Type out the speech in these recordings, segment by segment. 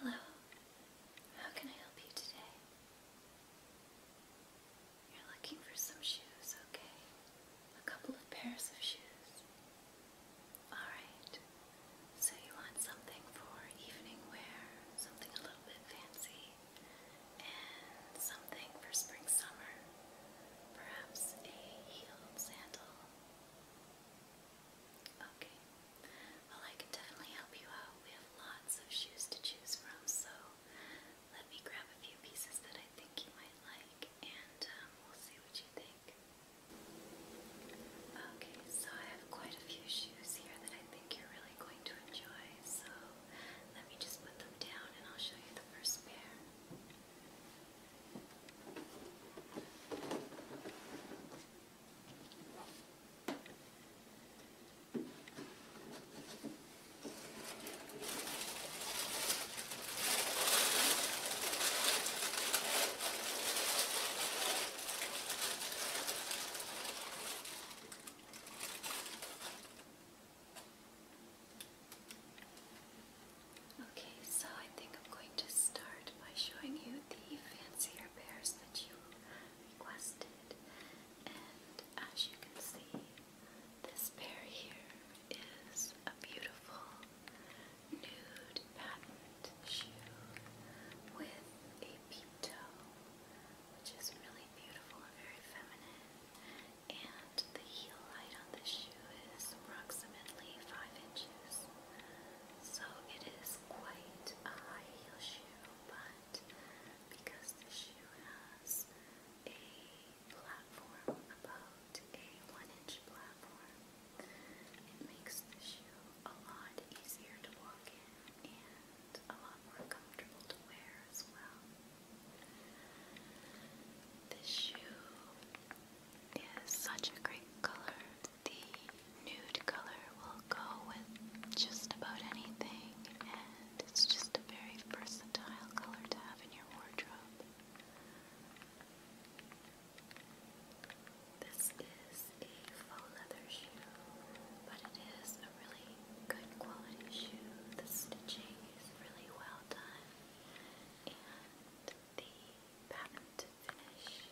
Hello, how can I help you today? You're looking for some shoes, okay? A couple of pairs of shoes. Alright, so you want something for evening wear, something a little bit fancy and something for spring summer. Perhaps a heeled sandal. Okay. Well, I can definitely help you out. We have lots of shoes to choose from, so let me grab a few pieces that I think you might like, and um, we'll see what you think. Okay, so I have quite a few shoes here that I think you're really going to enjoy, so let me just put them down and I'll show you the first pair. Okay, so I think I'm going to start by showing you the fancier pairs that you requested. And as you can see, this pair here is a beautiful nude patent shoe with a peep toe, which is really beautiful and very feminine. And the heel height on the shoe is approximately 5 inches. So it is quite a high heel shoe, but because the shoe has a platform, about a 1 inch platform, it makes the shoe a lot easier to walk in and a This shoe is such a great color. The nude color will go with just about anything, and it's just a very versatile color to have in your wardrobe. This is a faux leather shoe, but it is really good quality shoe. The stitching is really well done, and the patent finish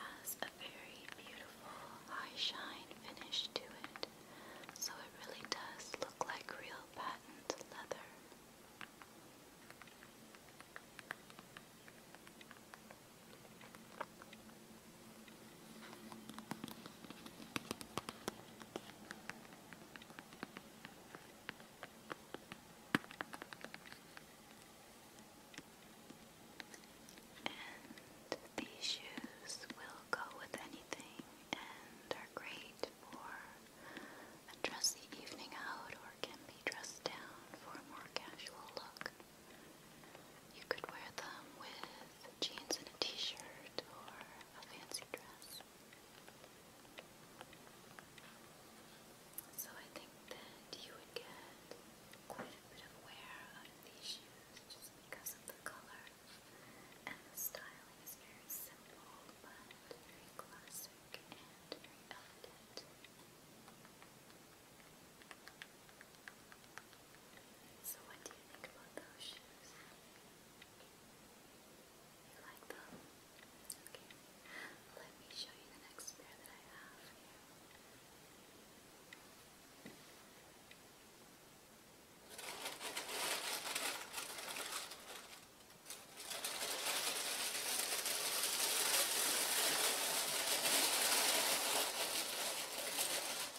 has a very beautiful high shine finish to it. So it really does look like real patent leather. And these shoes will go with anything and are great for a dressy evening out or can be dressed down for a more casual look. You could wear them with jeans and a t-shirt or a fancy dress. So I think that you would get quite a bit of wear out these shoes just because of the color. And the styling is very simple but very classic and elegant. So, what do you think about those shoes? You like them? Okay. Let me show you the next pair that I have here.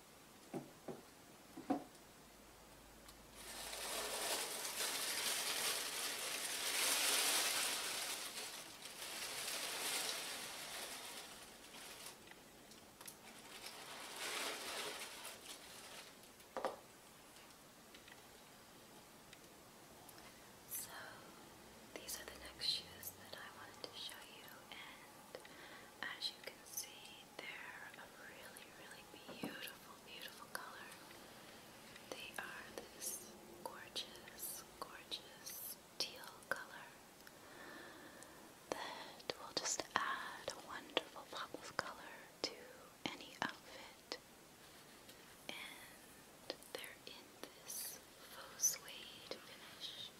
So, these are the next shoes that I wanted to show you, and as you can see, they're a really, really beautiful, beautiful color. They are this gorgeous, gorgeous teal color that will just add a wonderful pop of color to any outfit. And they're in this faux suede finish,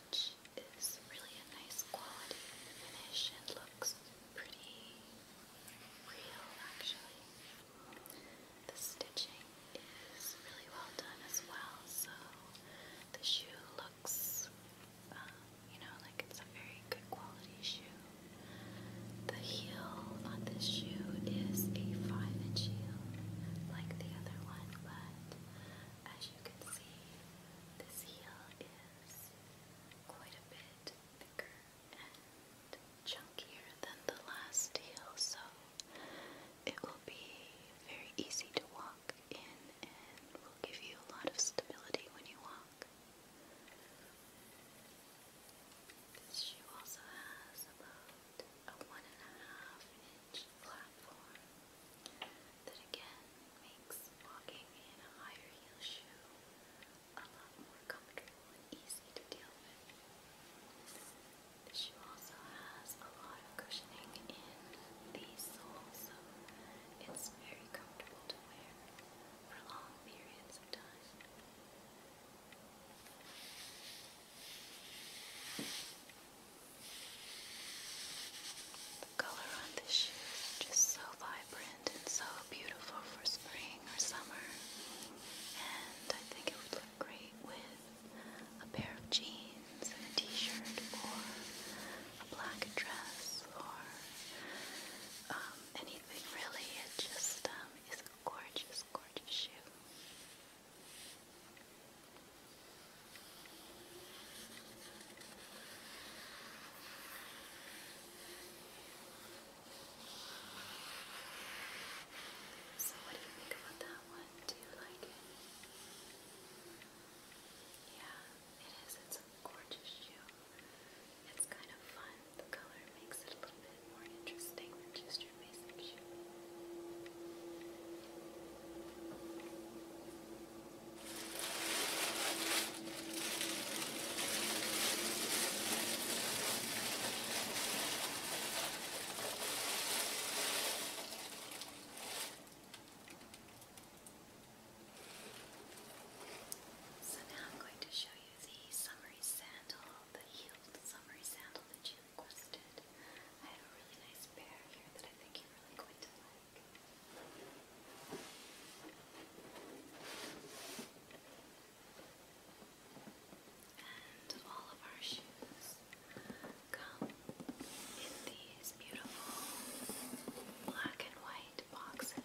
which it's really a nice quality finish and looks pretty real actually. The stitching is really well done as well, so the shoe looks, um, you know, like it's a very good quality shoe. The heel on this shoe is a 5 inch heel, like the other one, but as you can see, this heel is quite a bit thicker and chunkier than the last heel, so it will be very easy to walk in and will give you a lot of stability when you walk. This shoe also has about a one and a half arch platform that again makes walking in a higher heel shoe a lot more comfortable and easy to deal with. The shoe also has a lot of cushioning in the sole, so it's very comfortable to wear for long periods of time. The color on the shoes just so vibrant and so beautiful for spring or summer. And I think it would look great with a pair of jeans and a t-shirt or a black dress or um, anything really. It just um, is a gorgeous, gorgeous shoe. So, what do you think about that one? Do you like it? Yeah, it is. It's a gorgeous shoe. It's kind of fun. The color makes it a little bit more interesting than just your basic shoe. So now I'm going to show you the summery sandal, the heeled summery sandal that she requested. I have a really nice pair here that I think you're really going to like. And all of our shoes come in these beautiful black and white boxes.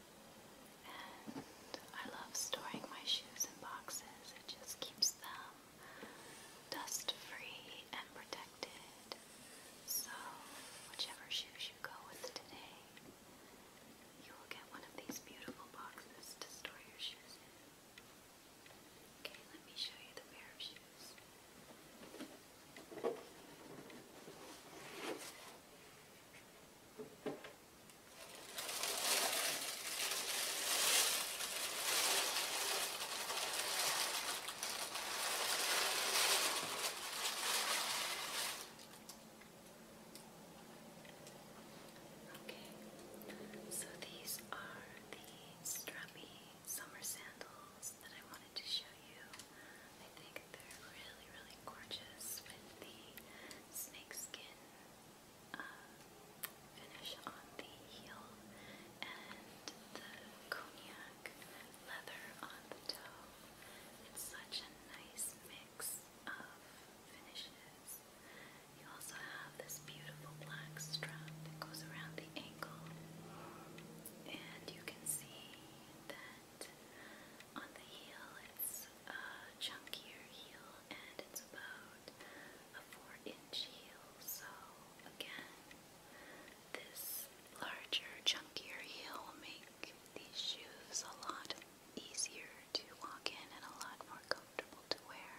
And I love storing my shoes in boxes. It just keeps them dust free and protected. So, whichever shoes you go with today, you will get one of these beautiful boxes to store your shoes in. Okay, let me show you the pair of shoes. Okay, so these are the strappy summer sandals that I wanted to show you. I think they're really, really gorgeous with the snakeskin um, finish on the heel and the cognac leather on the toe. It's such a nice mix of finishes. You also have this beautiful black strap that goes around the ankle, and you can see that on the heel, it's a chunkier heel and it's about a 4 inch heel. So, again, this larger, chunkier heel will make these shoes a lot easier to walk in and a lot more comfortable to wear.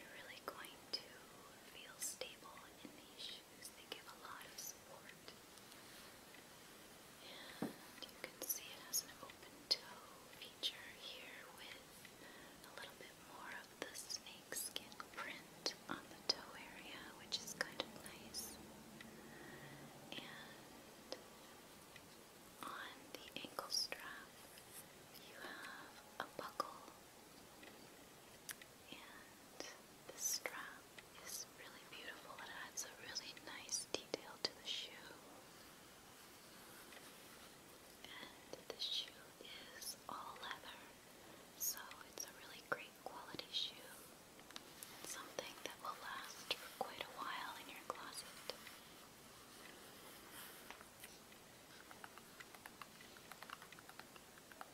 You're really going to feel stable in these shoes they give a lot of support. And you can see it has an open toe feature here with a little bit more of the snake print on the toe area, which is kind of nice. And on the ankle strap, you have a buckle. And the strap it's really beautiful. It adds a really nice detail to the shoe. And the shoe is all leather, so it's a really great quality shoe. something that will last quite a while in your closet.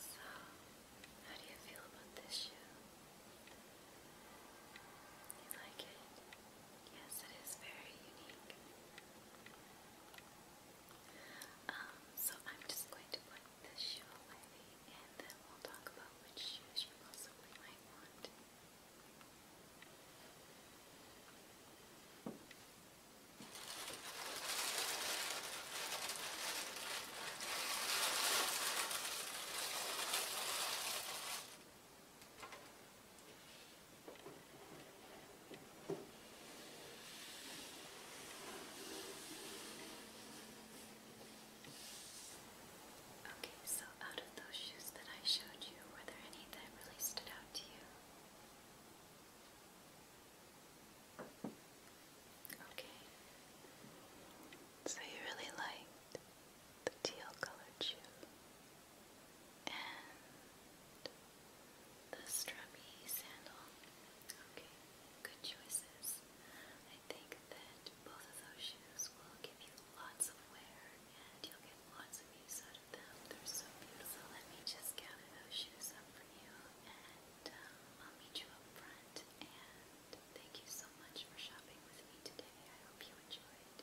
So, how do you feel about this shoe? You like it? Yes, it is very unique. Um, so I'm just going to put this shoe away and then we'll talk about which shoes you possibly might want. Okay, so out of those shoes that I showed you, were there any that really stood out to you? Okay. So you really liked the teal colored shoe and the strappy sandal. Okay, good choices. I think that both of those shoes will give you lots of wear and you'll get lots of use out of them. They're so beautiful. Let me just gather those shoes up for you and um, I'll meet you up front. And thank you so much for shopping with me today. I hope you enjoyed.